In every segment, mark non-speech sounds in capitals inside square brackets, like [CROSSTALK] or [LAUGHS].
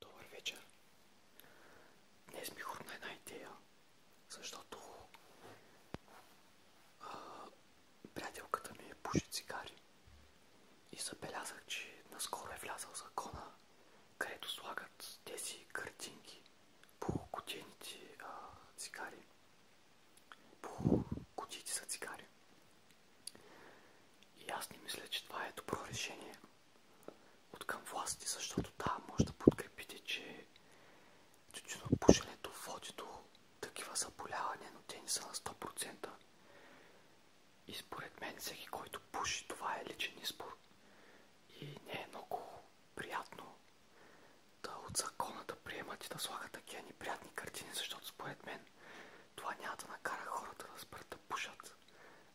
Добър вечер! Днес ми хрумна една идея, защото приятелката ми пуши цигари и забелязах, че наскоро е влязал закона, където слагат тези картинки по кутийните цигари. По кутиите са цигари. И аз не мисля, че това е добро решение от към власти, защото да, може да подкрепите, че тютюнопушенето води до такива заболявания, но те не са на 100%. И според мен всеки, който пуши, това е личен избор. И не е много приятно да от закона да приемат и да слагат такива неприятни картини, защото според мен това няма да накара хората да спрат да пушат,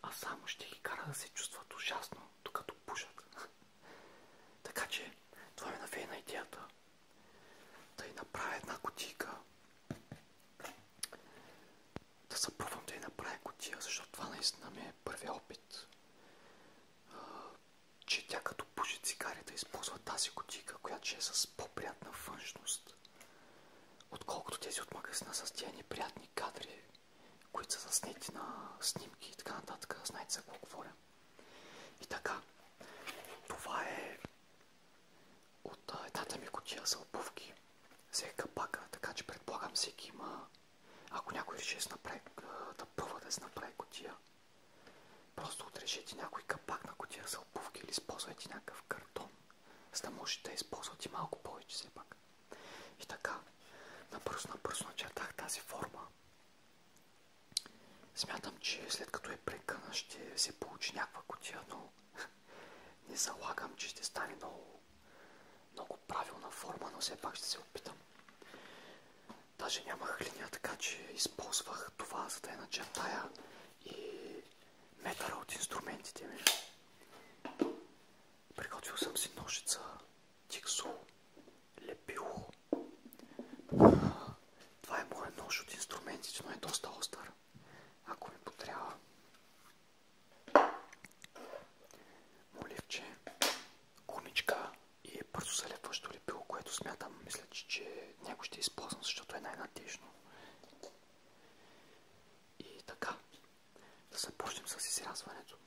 а само ще ги кара да се чувстват ужасно, докато пушат. [LAUGHS] така че, това ми навее на идеята. Да й направя една кутийка. Да запробвам да й направя кутия, защото това наистина ми е първият опит. че тя като пуши цигарите използва тази кутийка, която ще е с по-приятна външност отколкото тези от магазина с тези неприятни кадри, които са заснети на снимки и така нататък. Знаете за какво говоря. И така, това е от едната ми котия за обувки. е капака, така че предполагам всеки има... Ако някой реши да, направи, да пробва да се направи котия, просто отрежете някой капак на котия за обувки или използвайте някакъв картон за да може да използват и малко повече все пак. И така, набързо-набързо начертах тази форма. Смятам, че след като е прекъна ще се получи някаква котия, но [LAUGHS] не залагам, че ще стане много, много правилна форма, но все пак ще се опитам. Даже нямах линия, така че използвах това, за да я начертая и метъра от инструментите ми. Приготвил съм си ножица, тиксо, лепило. Това е моят нож от инструментите, но е доста остър. Ако ми потрябва. Моливче, гумичка и бързо залепващо лепило, което смятам, мисля, че, че някой ще използвам, защото е най-надежно. И така, да започнем с изрязването.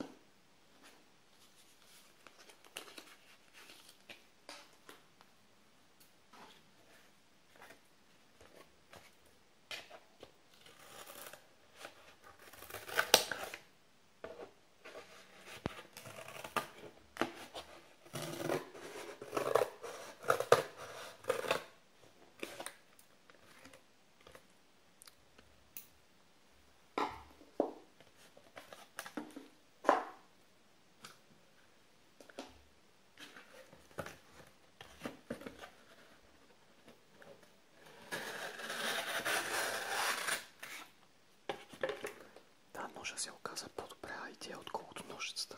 Да, ножа се оказа по-добра идея, отколкото ножицата.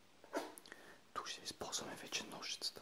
Тук ще използваме вече ножицата.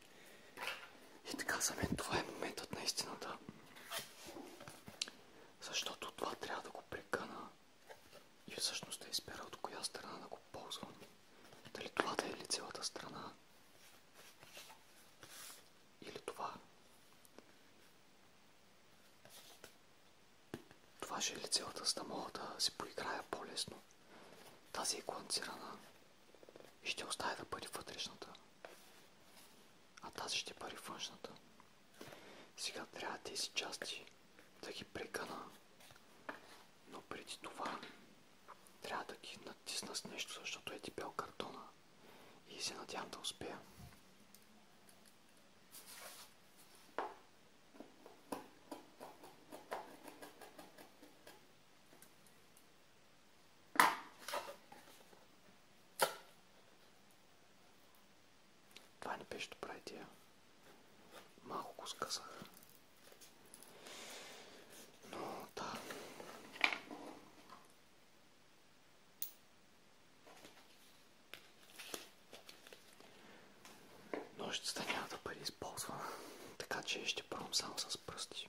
И така за мен това е моментът на истината. Защото това трябва да го прекъна и всъщност да избера от коя страна да го ползвам. Дали това да е лицевата страна или това. Това ще е лицевата, за да мога да си поиграя по-лесно. Тази е гланцирана ще оставя да бъде вътрешната, а тази ще бъде външната. Сега трябва тези части да ги прекъна, но преди това трябва да ги натисна с нещо, защото е дебел картона и се надявам да успея. Това не беше добра идея. Малко го скъсах. Но да. няма да бъде използвана. Така че ще пробвам само с пръсти.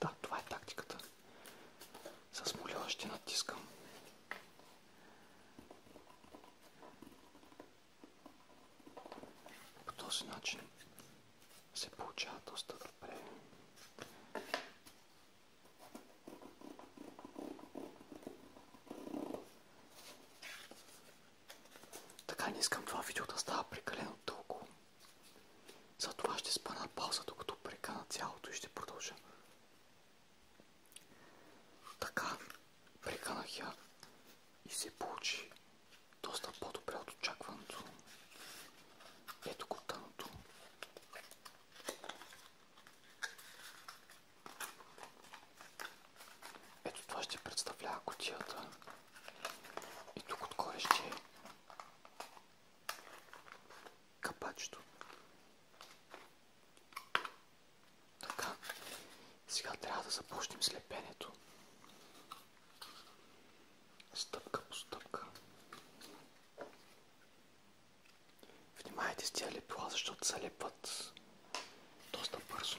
Да, това е тактиката. С молила ще натискам. По този начин се получава доста добре. Така не искам това видео да става прекалено дълго. Затова ще спа пауза, докато прекана цялото и ще продължа. Така, преканах я и се получи доста по-добре от очакването. Ето го тъното. Ето това ще представлява котията. И тук отгоре ще е капачето. Сега трябва да започнем с лепенето. Стъпка по стъпка. Внимайте с тия лепила, защото се лепват доста бързо.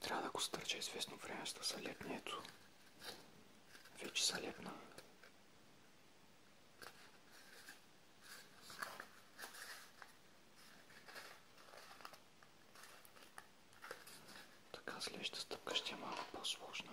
Трябва да го стърча известно време, за са лепни. Ето. Вече са лепна. Така следващата стъпка е малко по-сложна.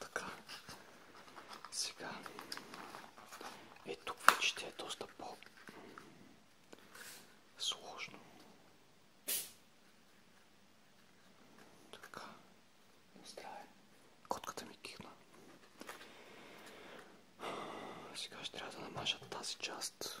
така. Сега. Е, тук вече ти е доста по... сложно. Така. Здраве. Котката ми кихна. Сега ще трябва да намажа тази част.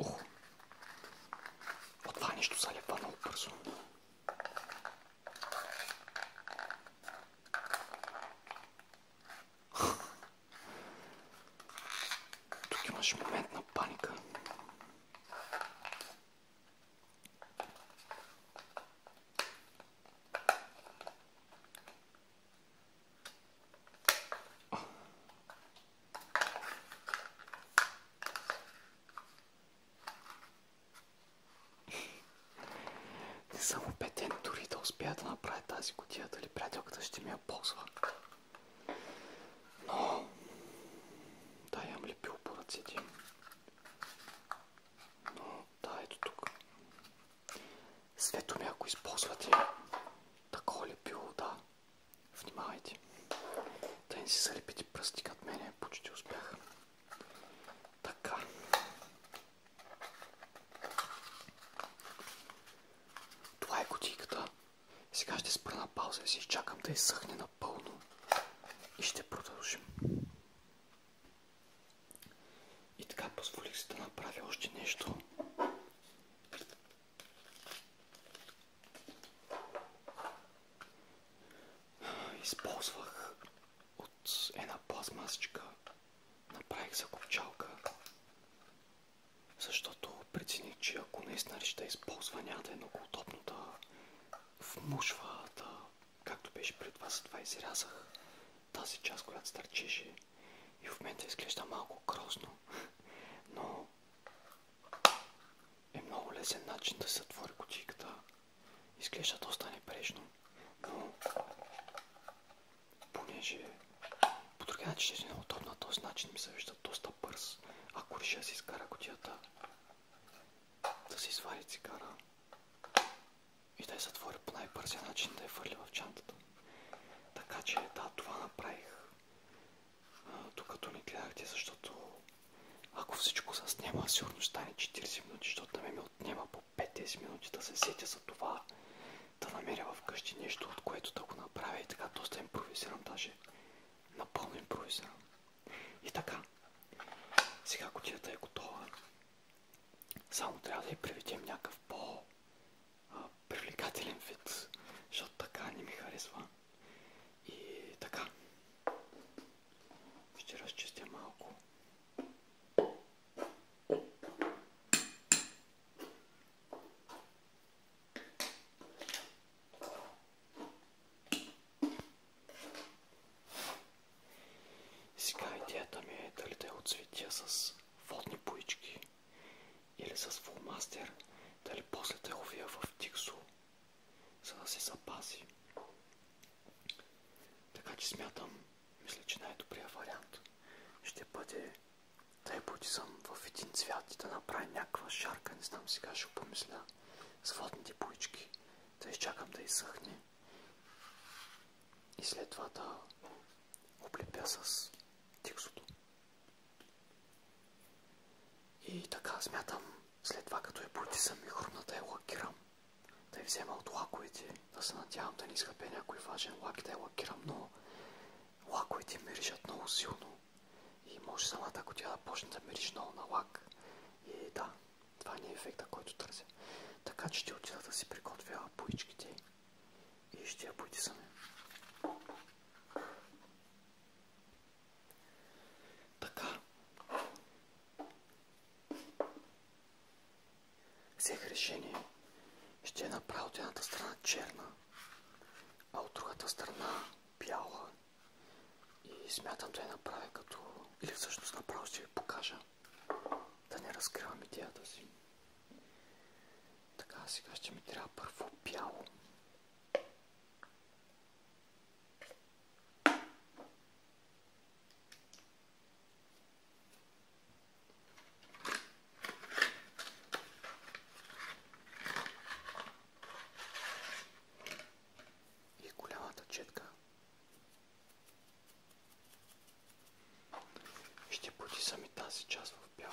Ох! От това нещо залепва много бързо. Тук имаш момент на паника. Не съм убеден дори да успея да направя тази котия, дали приятелката ще ми я ползва но да, имам лепил по ръцете. Но да, ето тук. Светоми, ако използвате такова лепило, да, внимавайте. Да не си залепите пръсти като мене, почти успях. Така. Това е кутийката. Сега ще спра на пауза и си изчакам да изсъхне напълно и ще продължим. И така позволих си да направя още нещо. Използвах от една пластмасичка, направих закопчалка, защото прецених, че ако наистина ще използва няма да е много удобно да вмушвата, както беше пред вас, това изрязах тази част, която стърчеше и в момента изглежда малко грозно, но е много лесен начин да се затвори кутийката. Изглежда доста непрежно, но понеже по другия начин ще си е неудобно, този начин ми се вижда доста бърз, ако реша да си изкара кутията да си извади цигара и да я затвори по най-бързия начин да я фърли в чантата. Така че да, това направих докато ми гледахте, защото ако всичко се снима, сигурно ще стане 40 минути, защото на мен ми отнема по 5-10 минути да се сетя за това, да намеря вкъщи нещо, от което да го направя и така доста импровизирам, даже напълно импровизирам. И така, сега котията е готова. Само трябва да я приведем някакъв по-привлекателен вид, защото така не ми харесва. И така, ще разчистя малко. Сега идеята ми е дали да я отцветя с водни боички или с фулмастер, дали после да я увия в тиксо, за да се запази. Така че смятам, мисля, че най-добрият вариант ще бъде да я потисам в един цвят и да направя някаква шарка. Не знам, сега ще помисля вода с водните боички, да изчакам да изсъхне и след това да облепя с тиксото. И така смятам, след това като я потисам и хрумна да лакирам, да я взема от лаковете, да се надявам да не изхъпя някой важен лак да я лакирам, но лаковете миришат много силно и може самата, ако тя да почне да мириш много на лак. И да, това не е ефекта, който търся. Така че ще отида да си приготвя боичките и ще я потисаме. Така. Взех решение. Ще направя от едната страна черна, а от другата страна бяла и смятам да я направя като... Или всъщност направо ще ви покажа. Да не разкривам идеята си. Така, сега ще ми трябва първо бяло и голямата четка ще потисам и тази част в бяло.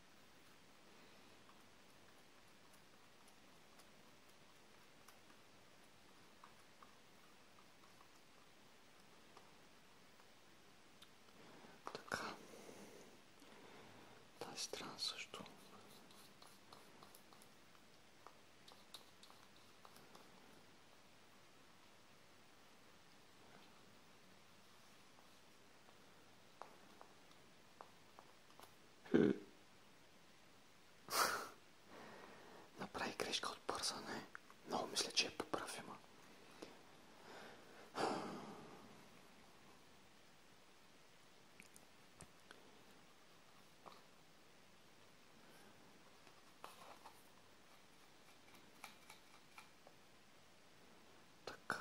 Така. Тази страна също. Направи грешка от бързане. Много мисля, че е поправима. Така.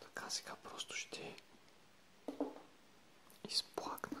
Така сега просто ще изплакна.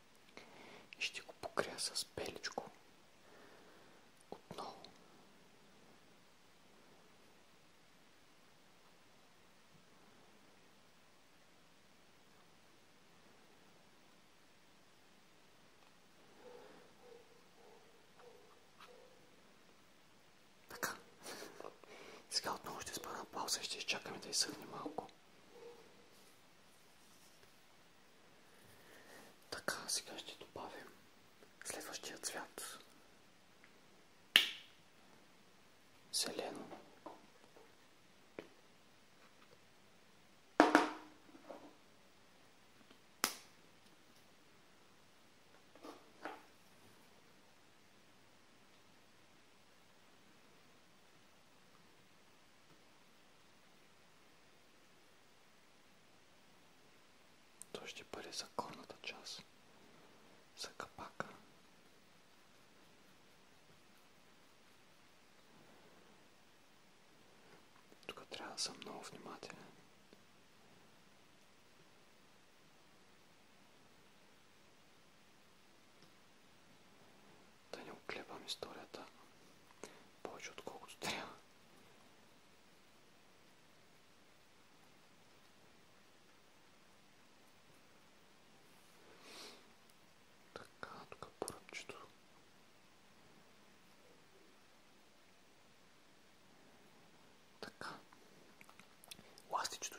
и ще го покрия с пеличко отново. Така. Сега отново ще спра на пауза и ще изчакаме да изсъхне малко. Така, сега ще добавим следващия цвят. Зелено. То ще бъде за горната част, за капака. Тук трябва да съм много внимателен. Да не оклебам историята повече отколкото трябва. Така, тук е поръбчето. Така. Ластичето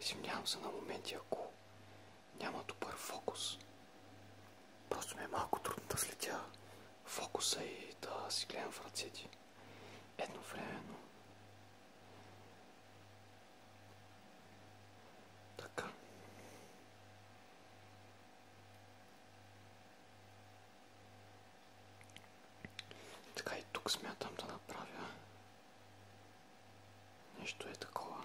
Извинявам се на моменти, ако няма добър фокус. Просто ми е малко трудно да слетя фокуса и да си гледам в ръцете. Едновременно. Така. Така и тук смятам да направя Нещо е такова.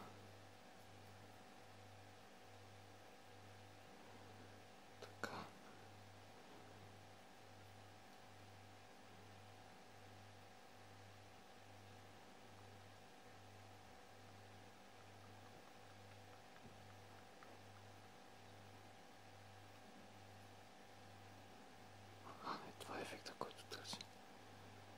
Така. А, е, това е ефекта, който търсим.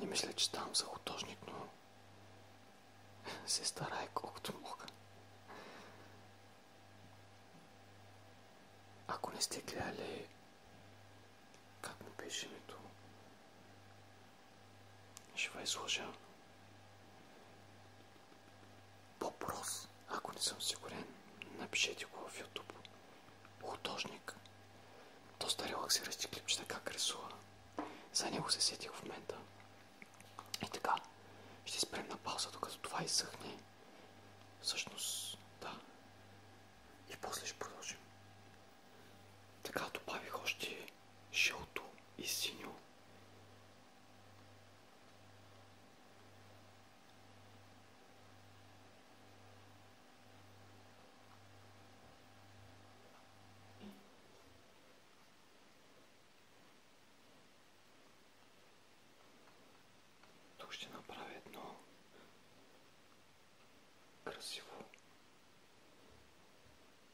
Не мисля, че ставам за художник, но се старая колкото мога. Ако не сте гледали как му беше името, ще ви изложа Въпрос, ако не съм сигурен, напишете го в YouTube. Художник. Доста релаксиращи клипчета как рисува. За него се сетих в момента. И така, ще спрем на пауза, докато това изсъхне. Всъщност, да. И после ще продължим. Така добавих още жълто и синьо тук ще направя едно красиво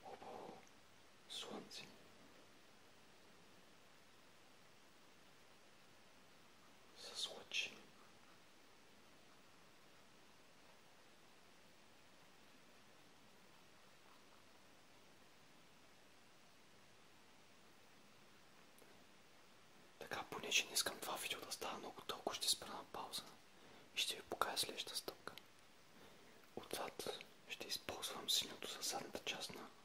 хубаво слънце. С понеже не искам това видео да става много толкова, ще спра на пауза и ще ви покажа следващата стъпка. Отзад ще използвам синьото за задната част на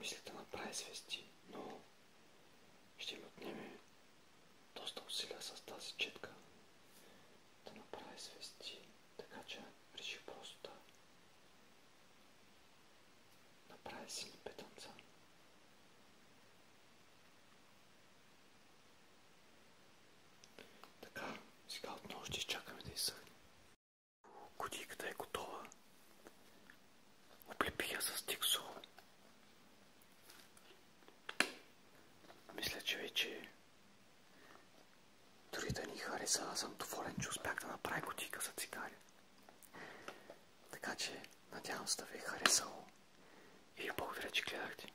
Мисля да направи свести, но ще ми отнеме доста усилия с тази четка да направи свести, така че реши просто да направя сини петънца. Така, сега отново ще да изсъхне. Кутийката е готова. Оплепих я с тиксо. Мисля, че вече дори да ни хареса, аз съм доволен, че успях да направя кутийка за цигари. Така че, надявам се да ви е харесало и благодаря, че гледахте.